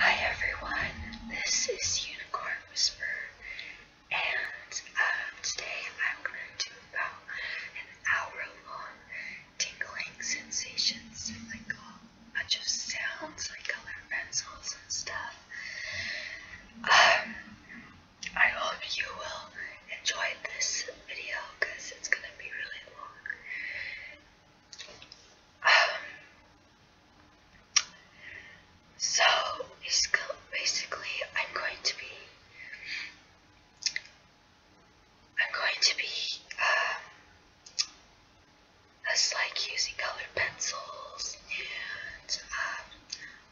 Hi everyone, this is Unicorn Whisper, and um, today I'm going to do about an hour long tingling sensations, like a bunch of sounds, like colored pencils and stuff. Um, I hope you will enjoy this video because it's going to be really long. Um, so basically I'm going to be I'm going to be um, just like using colored pencils and um,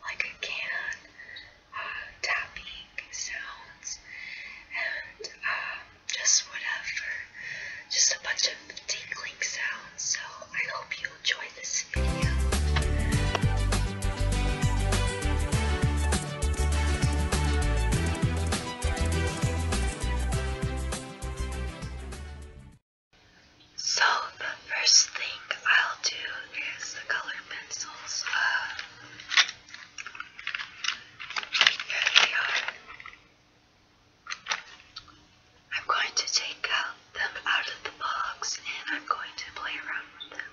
like a can uh, tapping sounds and uh just whatever, just a bunch of tinkling sounds. So I hope you enjoy this video. So the first thing I'll do is the color pencils. Uh, here they are. I'm going to take out uh, them out of the box and I'm going to play around with them.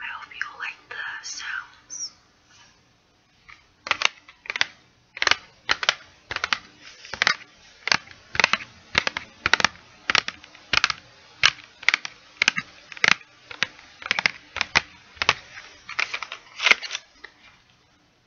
I hope you like the sounds.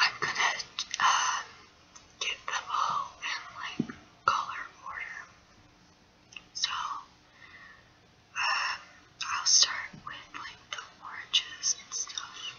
I'm gonna um, get them all in like color order. So um, I'll start with like the oranges and stuff.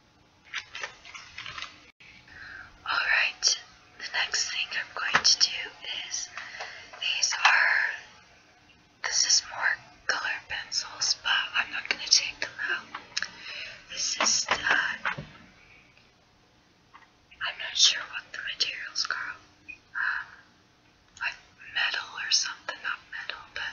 Alright, the next thing I'm going to do is these are, this is more color pencils, but I'm not going to take them out. This is the, I'm not sure what the materials are, um, like metal or something, not metal, but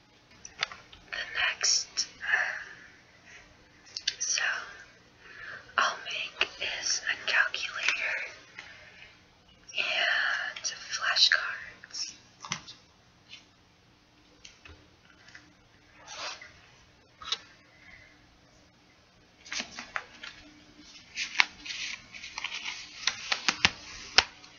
the next uh, I'll make is a calculator and flashcards.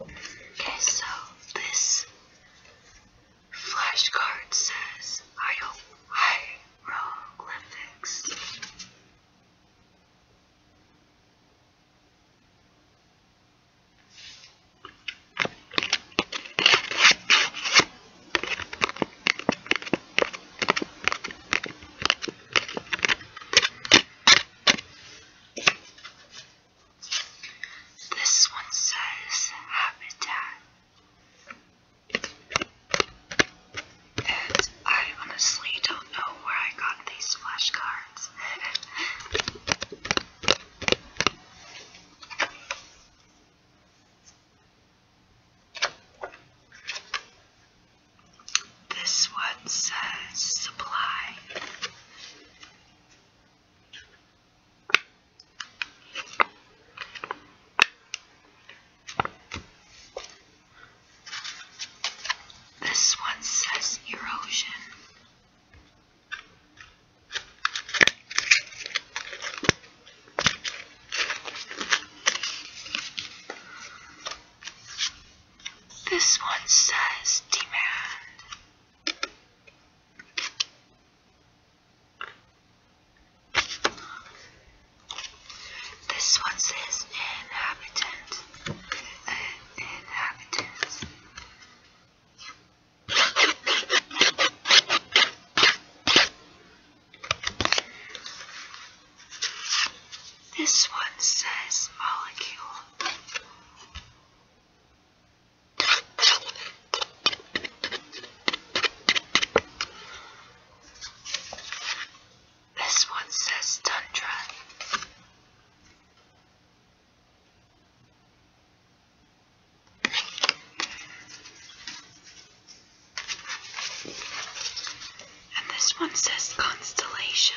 Okay, so this flashcard says I hope this one says habitat. And I honestly don't know where I got these flashcards. This one says supply. This one says erosion. This one says demand. This one says inhabitant. Uh, This one says molecule. This one says Tundra. And this one says Constellation.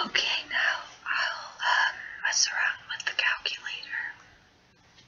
Okay, now I'll um, mess around with the calculator.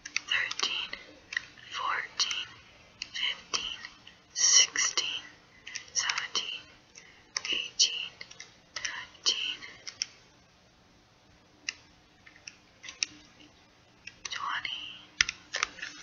thirteen, fourteen, fifteen, sixteen, seventeen, eighteen, nineteen, twenty. Twenty-one,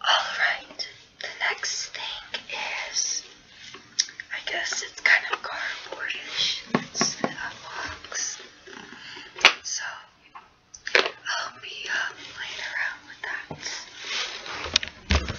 All right, the next thing is, I guess it's kind of cardboardish. It's a box, so I'll be uh, around with that.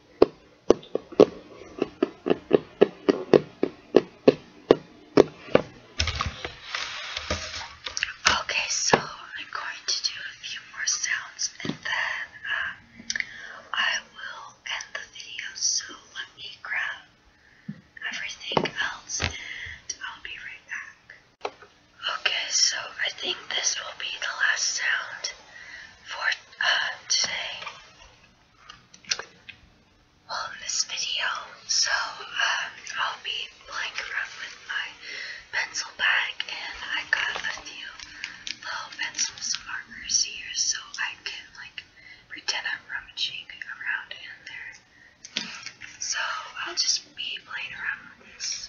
Okay, so I'm going to do a few more sounds and then um, I will end the video. So let me grab everything else and I'll be right back. Okay, so I think this will be the last sound for uh, today well, this video, so uh, I'll be playing around with my pencil bag and I got a few little pencils and markers here so I can like pretend I'm rummaging around in there. So I'll just be playing around with this.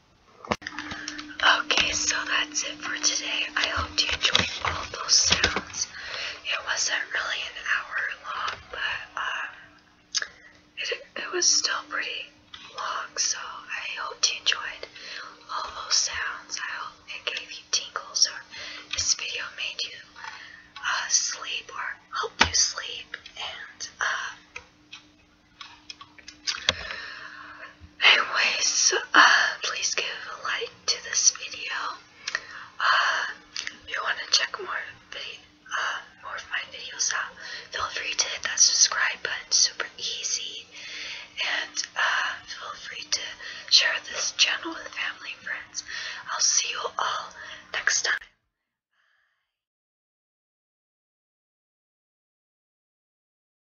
Okay, so that's it for today. I hope you enjoyed all those sounds. It wasn't really an hour long, but um, it, it was still pretty long, so I hope you enjoyed all those sounds. I hope it gave you tingles or this video made you uh, sleep or help you sleep. And uh, anyways, uh, please give a like to this video. Uh, if you want to check more uh, more of my videos out, feel free to hit that subscribe button. Super easy, and feel free to share this channel with family and friends. I'll see you all next time.